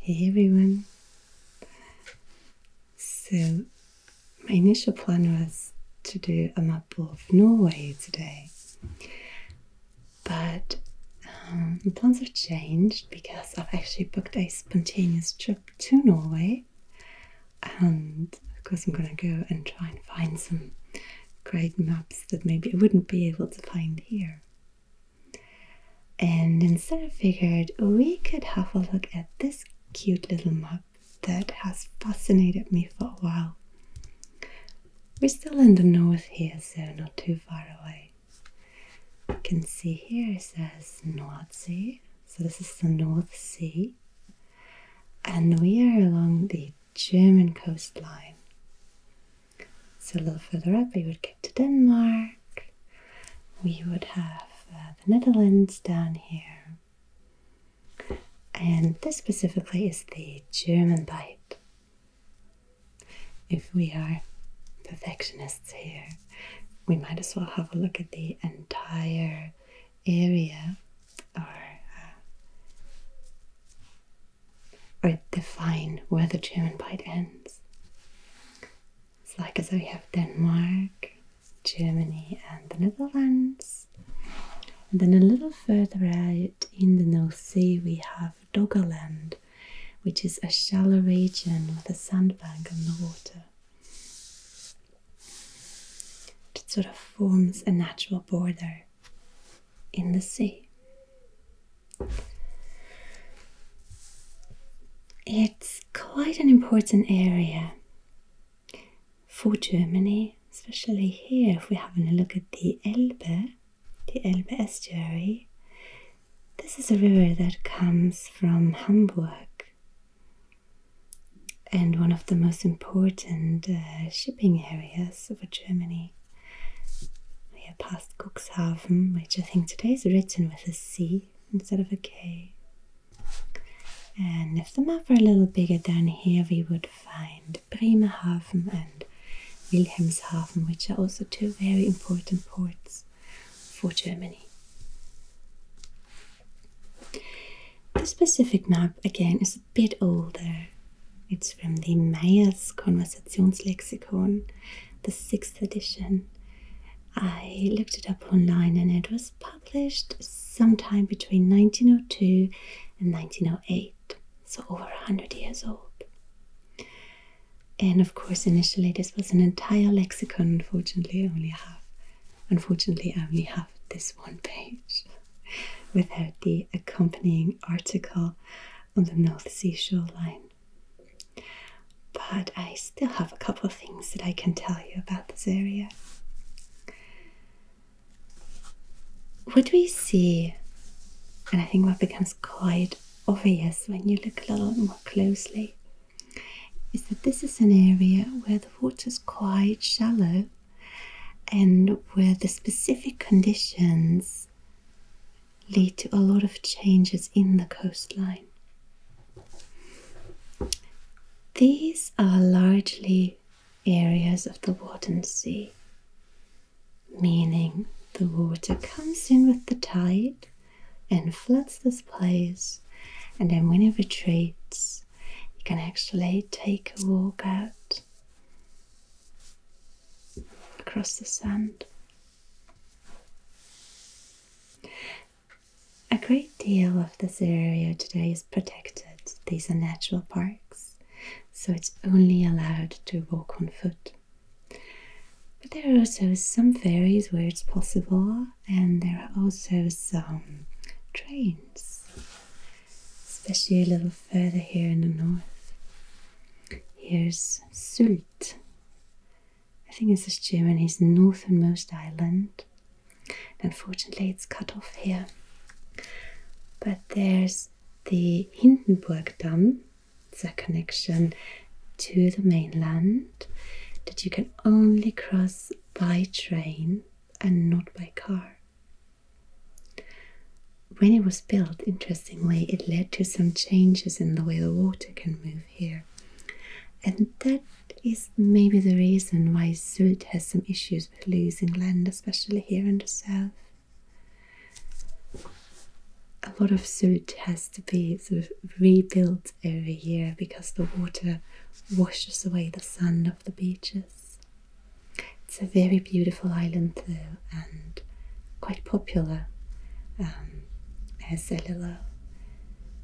Hey everyone! So, my initial plan was to do a map of Norway today, but um, the plans have changed because I've actually booked a spontaneous trip to Norway, and of course, I'm gonna go and try and find some great maps that maybe I wouldn't be able to find here. And instead, I figured we could have a look at this cute little map that has fascinated me for a while. We're still in the north here, so not too far away. You can see here it says North Sea, so this is the North Sea, and we are along the German coastline. So a little further up, we would get to Denmark. We would have uh, the Netherlands down here. And this specifically is the German bite. If we are perfectionists here, we might as well have a look at the entire area uh, or define where the German bite ends. It's like as so we have Denmark, Germany, and the Netherlands. And then a little further out in the North Sea, we have Doggerland, which is a shallow region with a sandbank on the water. It sort of forms a natural border in the sea. It's quite an important area for Germany, especially here. If we're having a look at the Elbe, the Elbe estuary, this is a river that comes from Hamburg and one of the most important uh, shipping areas of Germany. We are past Cuxhaven, which I think today is written with a C instead of a K. And if the map were a little bigger down here, we would find Bremerhaven and Wilhelmshaven, which are also two very important ports for Germany. This specific map again is a bit older it's from the Conversations Lexicon, the sixth edition. I looked it up online and it was published sometime between 1902 and 1908, so over 100 years old. And of course, initially, this was an entire lexicon. Unfortunately, I only have, unfortunately, I only have this one page without the accompanying article on the North Sea shoreline. But I still have a couple of things that I can tell you about this area. What we see, and I think what becomes quite obvious when you look a little more closely, is that this is an area where the water is quite shallow and where the specific conditions lead to a lot of changes in the coastline. These are largely areas of the Wadden Sea, meaning the water comes in with the tide and floods this place, and then when it retreats, you can actually take a walk out across the sand. A great deal of this area today is protected. These are natural parks, so it's only allowed to walk on foot. But there are also some ferries where it's possible, and there are also some trains especially a little further here in the north. Here's Sylt. I think this is Germany's northernmost island. Unfortunately, it's cut off here. But there's the Hindenburg Dam. It's a connection to the mainland that you can only cross by train and not by car. When it was built, interestingly, it led to some changes in the way the water can move here. And that is maybe the reason why Sud has some issues with losing land, especially here in the south. A lot of Sud has to be sort of rebuilt every year because the water washes away the sand off the beaches. It's a very beautiful island though and quite popular um, as a little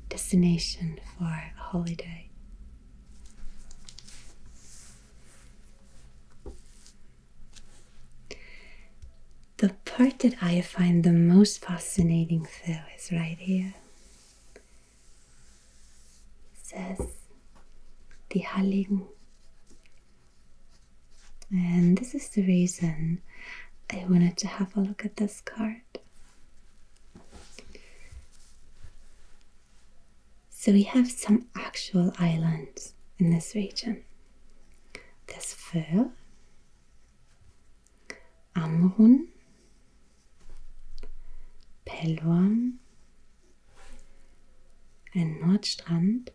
destination for a holiday. The part that I find the most fascinating though is right here. says the Halligen. And this is the reason I wanted to have a look at this card. So we have some actual islands in this region. There's Föhr, Amrun, Pelorn, and Nordstrand.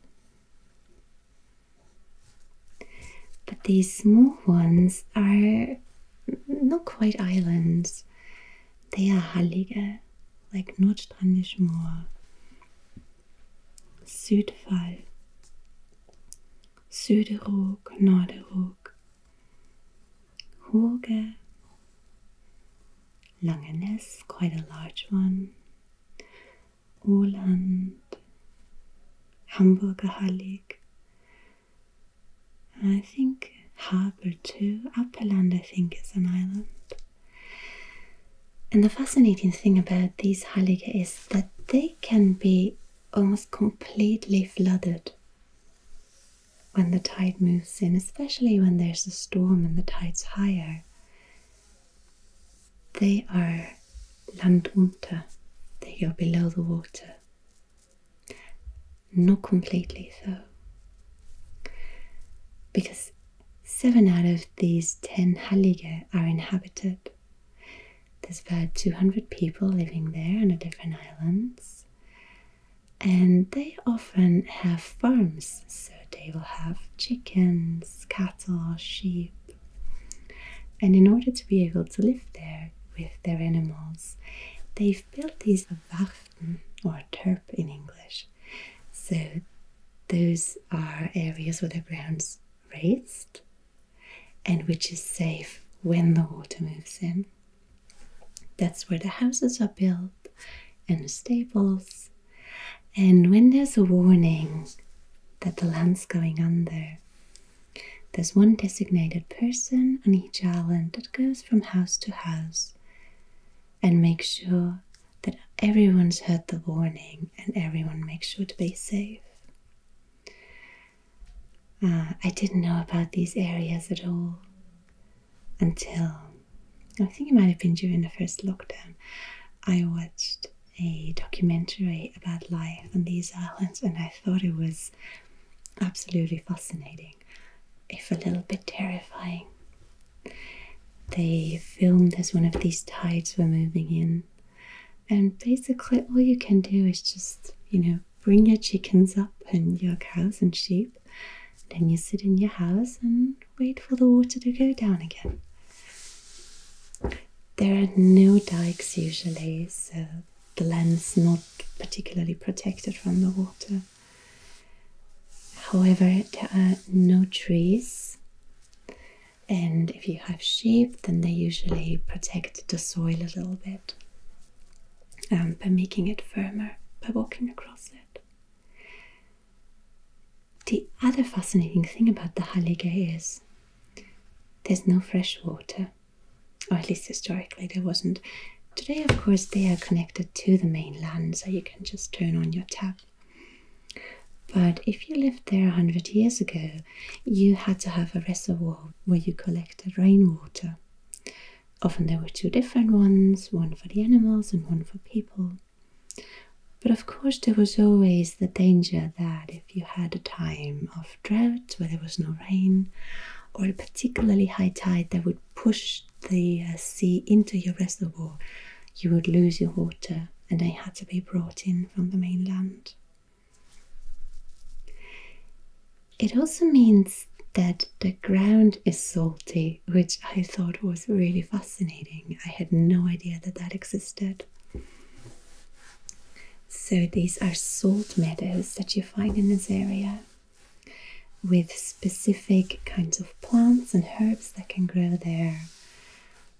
But these small ones are not quite islands, they are Hallige, like Nordstrandisch Moor, Südfall, Süderog, Norderog, Hoge, Langeness, quite a large one. Oland, Hamburger Hallig. I think harbour too. Upperland, I think, is an island. And the fascinating thing about these Hallige is that they can be almost completely flooded when the tide moves in, especially when there's a storm and the tide's higher, they are landunter, they are below the water. Not completely though, because seven out of these ten halige are inhabited. There's about 200 people living there on the different islands, and they often have farms, so they will have chickens, cattle, sheep. And in order to be able to live there with their animals, they've built these Wachten or terp in English. So those are areas where the ground's raised and which is safe when the water moves in. That's where the houses are built and the stables. And when there's a warning that the land's going under, there's one designated person on each island that goes from house to house and makes sure that everyone's heard the warning and everyone makes sure to be safe. Uh, I didn't know about these areas at all until I think it might have been during the first lockdown. I watched a documentary about life on these islands and I thought it was absolutely fascinating, if a little bit terrifying. They filmed as one of these tides were moving in, and basically, all you can do is just, you know, bring your chickens up and your cows and sheep then you sit in your house and wait for the water to go down again. There are no dikes usually, so the land's not particularly protected from the water. However, there are no trees, and if you have sheep, then they usually protect the soil a little bit um, by making it firmer by walking across it. The other fascinating thing about the Hallige is there's no fresh water, or at least historically there wasn't. Today, of course, they are connected to the mainland, so you can just turn on your tap. But if you lived there 100 years ago, you had to have a reservoir where you collected rainwater. Often there were two different ones, one for the animals and one for people. But of course, there was always the danger that if you had a time of drought where there was no rain, or a particularly high tide that would push the uh, sea into your reservoir, you would lose your water and they had to be brought in from the mainland. It also means that the ground is salty, which I thought was really fascinating. I had no idea that that existed. So, these are salt meadows that you find in this area with specific kinds of plants and herbs that can grow there.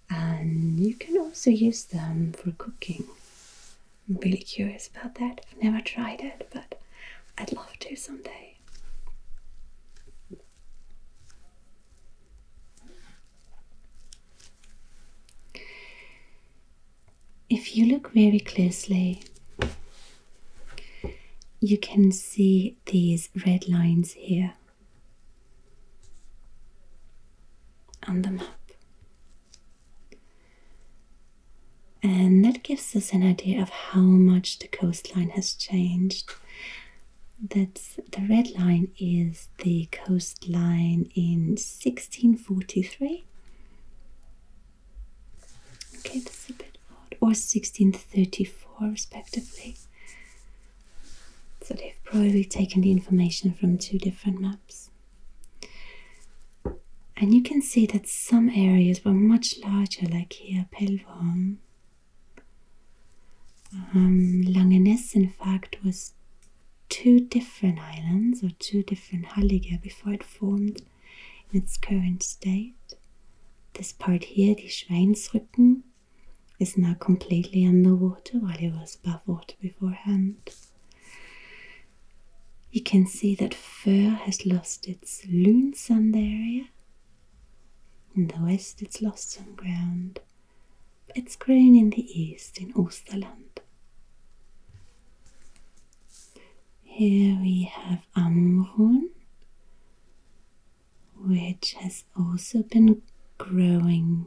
And you can also use them for cooking. I'm really curious about that. I've never tried it, but I'd love to someday. If you look very closely, you can see these red lines here on the map. And that gives us an idea of how much the coastline has changed. That's the red line is the coastline in 1643. Okay, that's a bit odd. Or 1634, respectively. So they've probably taken the information from two different maps. And you can see that some areas were much larger, like here Pellworm. Um, Langeness, in fact, was two different islands or two different halliger before it formed in its current state. This part here, the Schweinsrücken, is now completely underwater while it was above water beforehand you can see that fir has lost its Loonsand area. In the west, it's lost some ground. But it's grown in the east in Osterland. Here we have Amrun, which has also been growing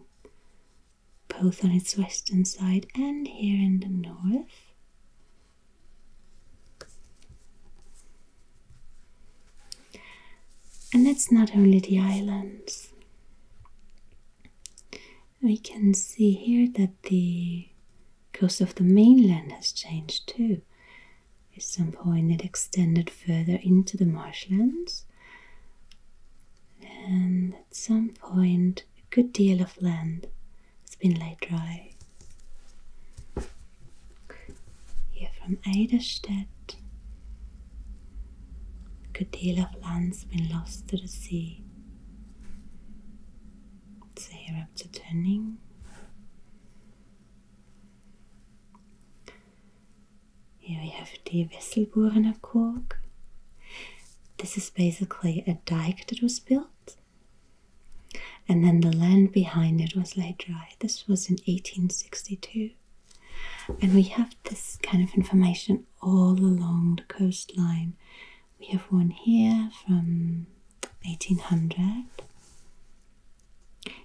both on its western side and here in the north. And that's not only the islands. We can see here that the coast of the mainland has changed too. At some point, it extended further into the marshlands, and at some point, a good deal of land it's been laid dry. Here from Eiderstedt, a good deal of land's been lost to the sea. So here up to turning. Here we have the Wesselborener This is basically a dike that was built and then the land behind it was laid dry. This was in 1862. And we have this kind of information all along the coastline. We have one here from 1800.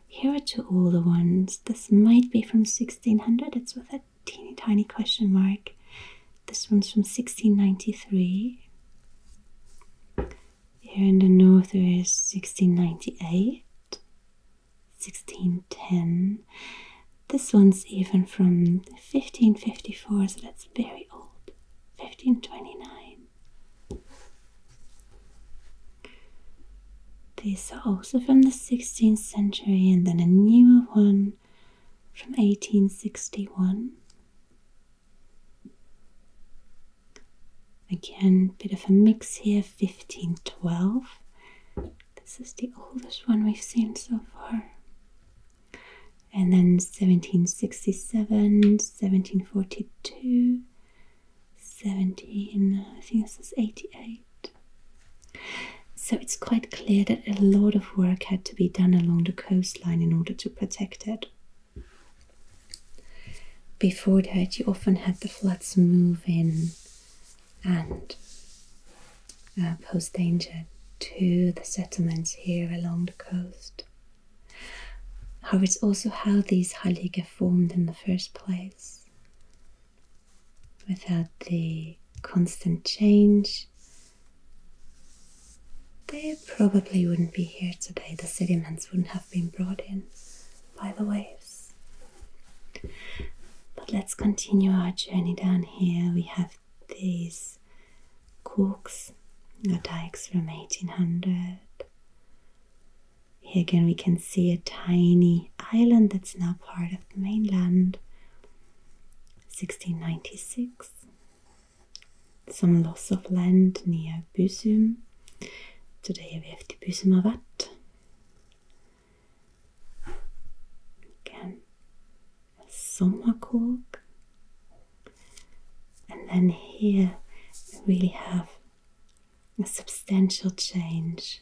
Here are two older ones. This might be from 1600. It's with a teeny tiny question mark. This one's from 1693. Here in the north there is 1698, 1610. This one's even from 1554, so that's very old. 1529. These are also from the 16th century, and then a newer one from 1861. Again, bit of a mix here 1512. This is the oldest one we've seen so far. And then 1767, 1742, 17, I think this is 88. So it's quite clear that a lot of work had to be done along the coastline in order to. Protected. Before that, you often had the floods move in and uh, pose danger to the settlements here along the coast. However, it's also how these Haliga formed in the first place. Without the constant change they probably wouldn't be here today, the sediments wouldn't have been brought in by the waves. But let's continue our journey down here. We have these corks or dikes from 1800. Here again, we can see a tiny island that's now part of the mainland. 1696 some loss of land near Busum. Today we have Busum har varit. Again, a sommarkåk. And then here we really have a substantial change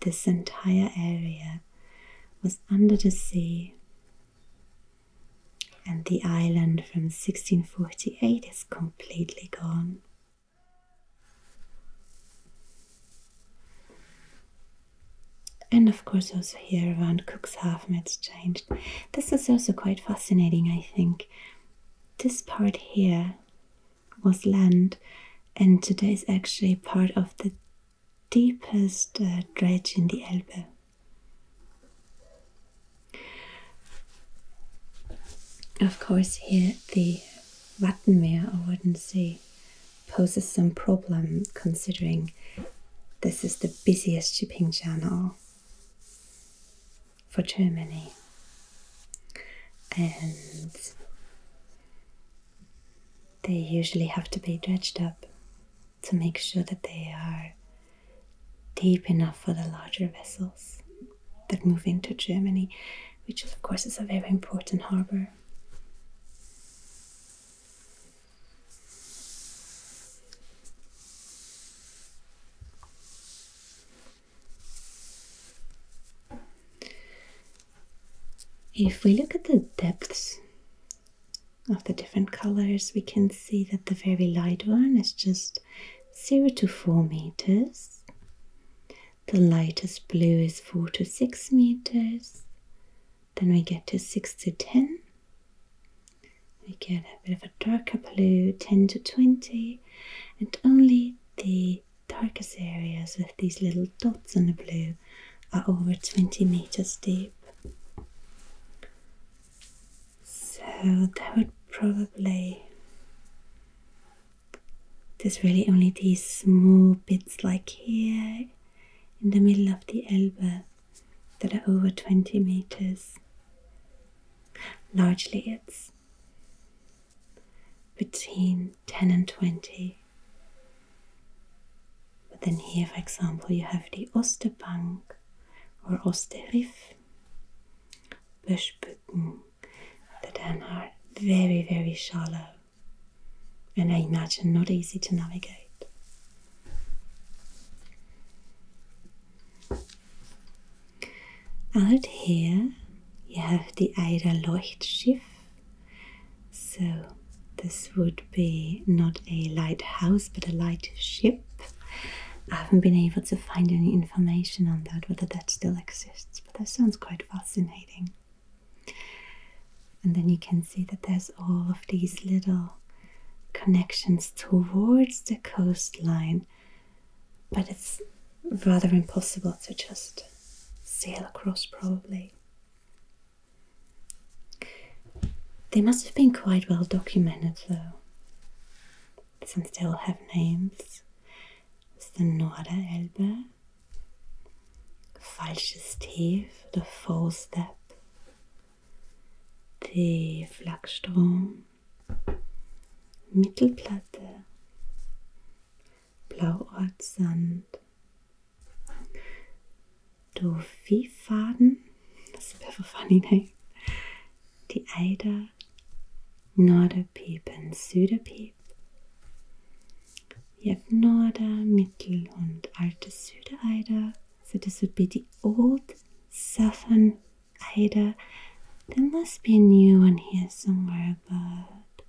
this entire area was under the sea, and the island from 1648 is completely gone. And of course, also here around Cook's Half it's changed. This is also quite fascinating, I think. This part here was land, and today is actually part of the deepest uh, dredge in the Elbe. Of course, here the Wattenmeer or Wooden Sea poses some problem considering this is the busiest shipping channel for Germany. And they usually have to be dredged up to make sure that they are deep enough for the larger vessels that move into Germany, which of course is a very important harbour. If we look at the depths of the different colors, we can see that the very light one is just 0 to 4 meters. The lightest blue is 4 to 6 meters. Then we get to 6 to 10. We get a bit of a darker blue, 10 to 20. And only the darkest areas with these little dots in the blue are over 20 meters deep. So that would probably there's really only these small bits like here in the middle of the Elbe that are over 20 meters. Largely it's between 10 and 20. But then here, for example, you have the Osterbank or Osteriff, Böschbücken, that then are very, very shallow and I imagine not easy to navigate. And here you have the Eider Leuchtschiff so, this would be not a lighthouse but a lightship. I haven't been able to find any information on that, whether that still exists, but that sounds quite fascinating. And then you can see that there's all of these little connections towards the coastline, but it's rather impossible to just sail across, probably. They must have been quite well documented, though. since they all have names. It's the Norderelbe, Falsches Tief, the False depth, the Flachstrom, Mittelplatte, Blauortsand, Doviefaden, das wäre verfangen, die Eider, Norderpiep und Süderpiep. Je hebt Norder-, Mittel- und Alte Südereider. So this would be the old southern Eider. There must be a new one here somewhere but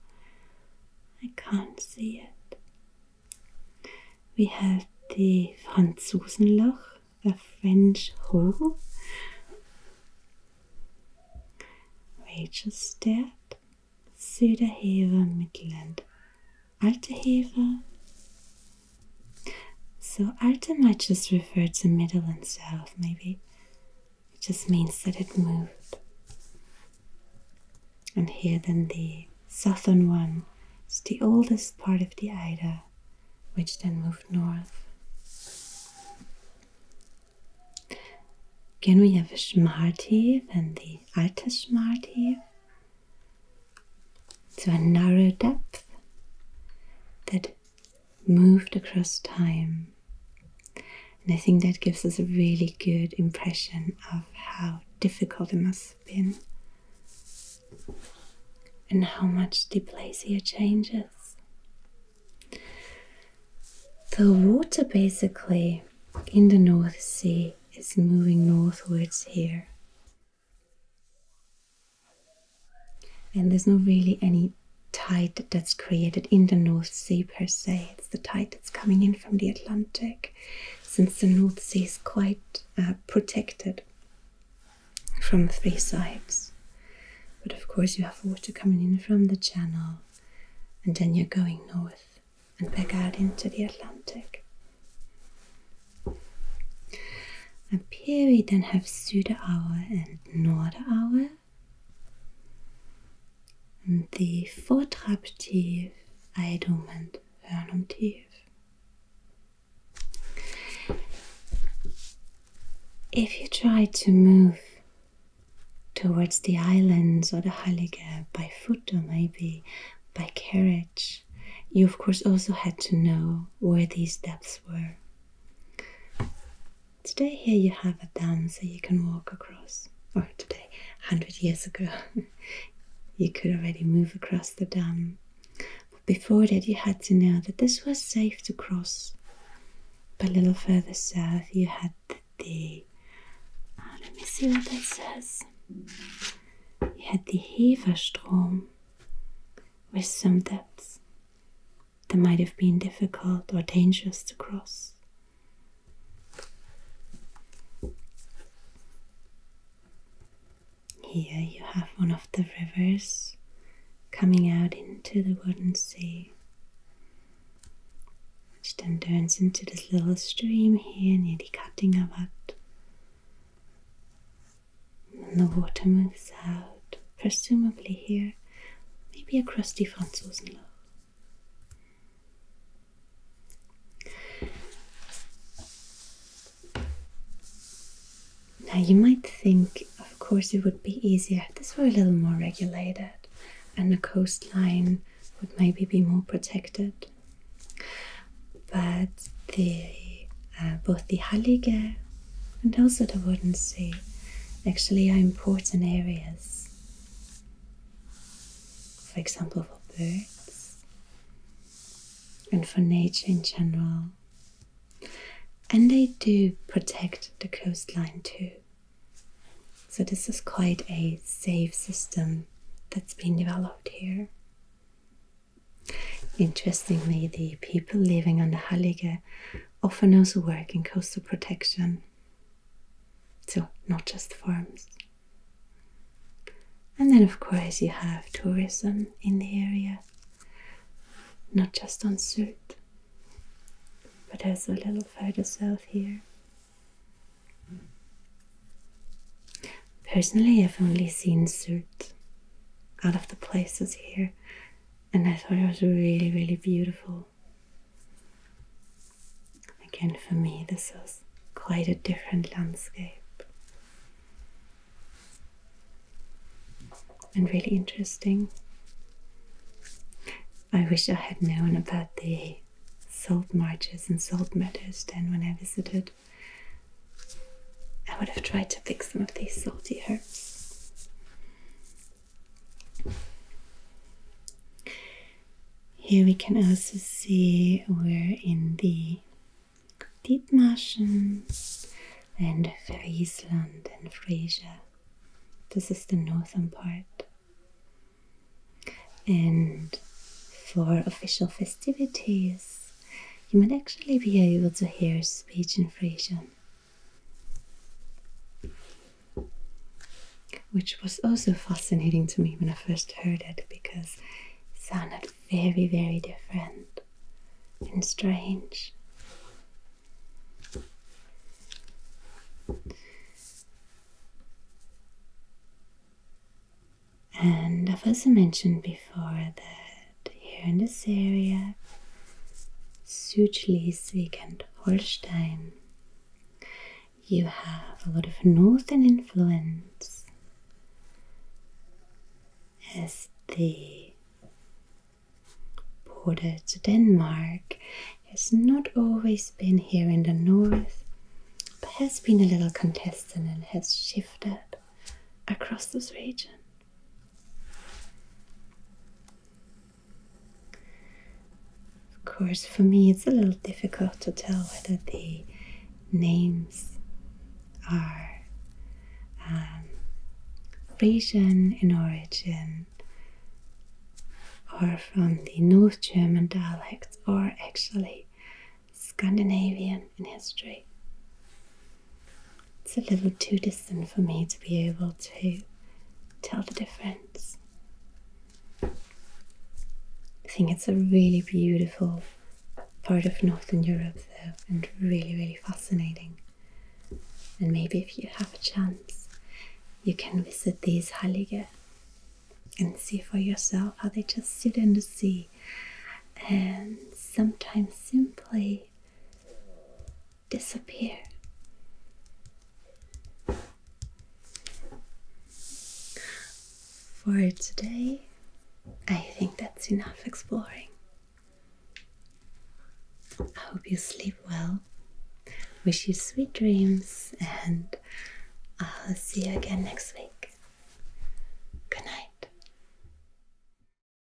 I can't see it. We have the Franzosenloch, the French hole. Rachelstert, Söderheve, Midland, Alte So Alte might just refer to middle and south, maybe. It just means that it moved. And here, then, the southern one is the oldest part of the Ida, which then moved north. Again, we have a Schmartiv and the alter Schmartiv. to a narrow depth that moved across time. And I think that gives us a really good impression of how difficult it must have been and how much the place changes. The water basically in the North Sea is moving northwards here. And there's not really any tide that's created in the North Sea per se. It's the tide that's coming in from the Atlantic, since the North Sea is quite uh, protected from three sides. But of course, you have water coming in from the channel, and then you're going north and back out into the Atlantic. Up here we then have Süderauer and Norderauer und die Vortrabtief, Eidum und Hörnumtief. If you tried to move towards the islands or the Heilige by foot or maybe by carriage, you of course also had to know where these depths were. Today, here you have a dam so you can walk across. Or oh, today, 100 years ago, you could already move across the dam. But before that, you had to know that this was safe to cross. But a little further south, you had the. Uh, let me see what this says. You had the Heverstrom with some depths that might have been difficult or dangerous to cross. Here you have one of the rivers coming out into the wooden sea, which then turns into this little stream here near the Kattingavat. And the water moves out presumably here, maybe a crusty Franzosenladen. Now you might think, of course, it would be easier this were a little more regulated and the coastline would maybe be more protected. But the, uh, both the Hallige and also the wooden sea actually are important areas. For example, for birds and for nature in general. And they do protect the coastline too. So, this is quite a safe system that's been developed here. Interestingly, the people living on the Hallige often also work in coastal protection, so not just farms. And then, of course, you have tourism in the area, not just on Surt, but there's a little further south here. Personally, I've only seen Surt out of the places here and I thought it was really, really beautiful. Again, for me, this was quite a different landscape and really interesting. I wish I had known about the salt marshes and salt meadows then when I visited. I would have tried to pick some of these salty herbs. Here we can also see we're in the marshes and Friesland and Friesia. This is the northern part. And for official festivities, you might actually be able to hear speech in Friesian. Which was also fascinating to me when I first heard it because it sounded very, very different and strange. And I've also mentioned before that here in this area, Südschleswig and Holstein. You have a lot of northern influence as the border to Denmark has not always been here in the north, but has been a little contested and has shifted across this region. Of course, for me it's a little difficult to tell whether the names are um, Frisian in origin or from the North German dialects or actually Scandinavian in history. It's a little too distant for me to be able to tell the difference. I think it's a really beautiful part of Northern Europe, though, and really, really fascinating. And maybe if you have a chance, you can visit these Hallige and see for yourself how they just sit in the sea and sometimes simply disappear. For today, I think that's enough exploring. I hope you sleep well. Wish you sweet dreams, and I'll see you again next week. Good night.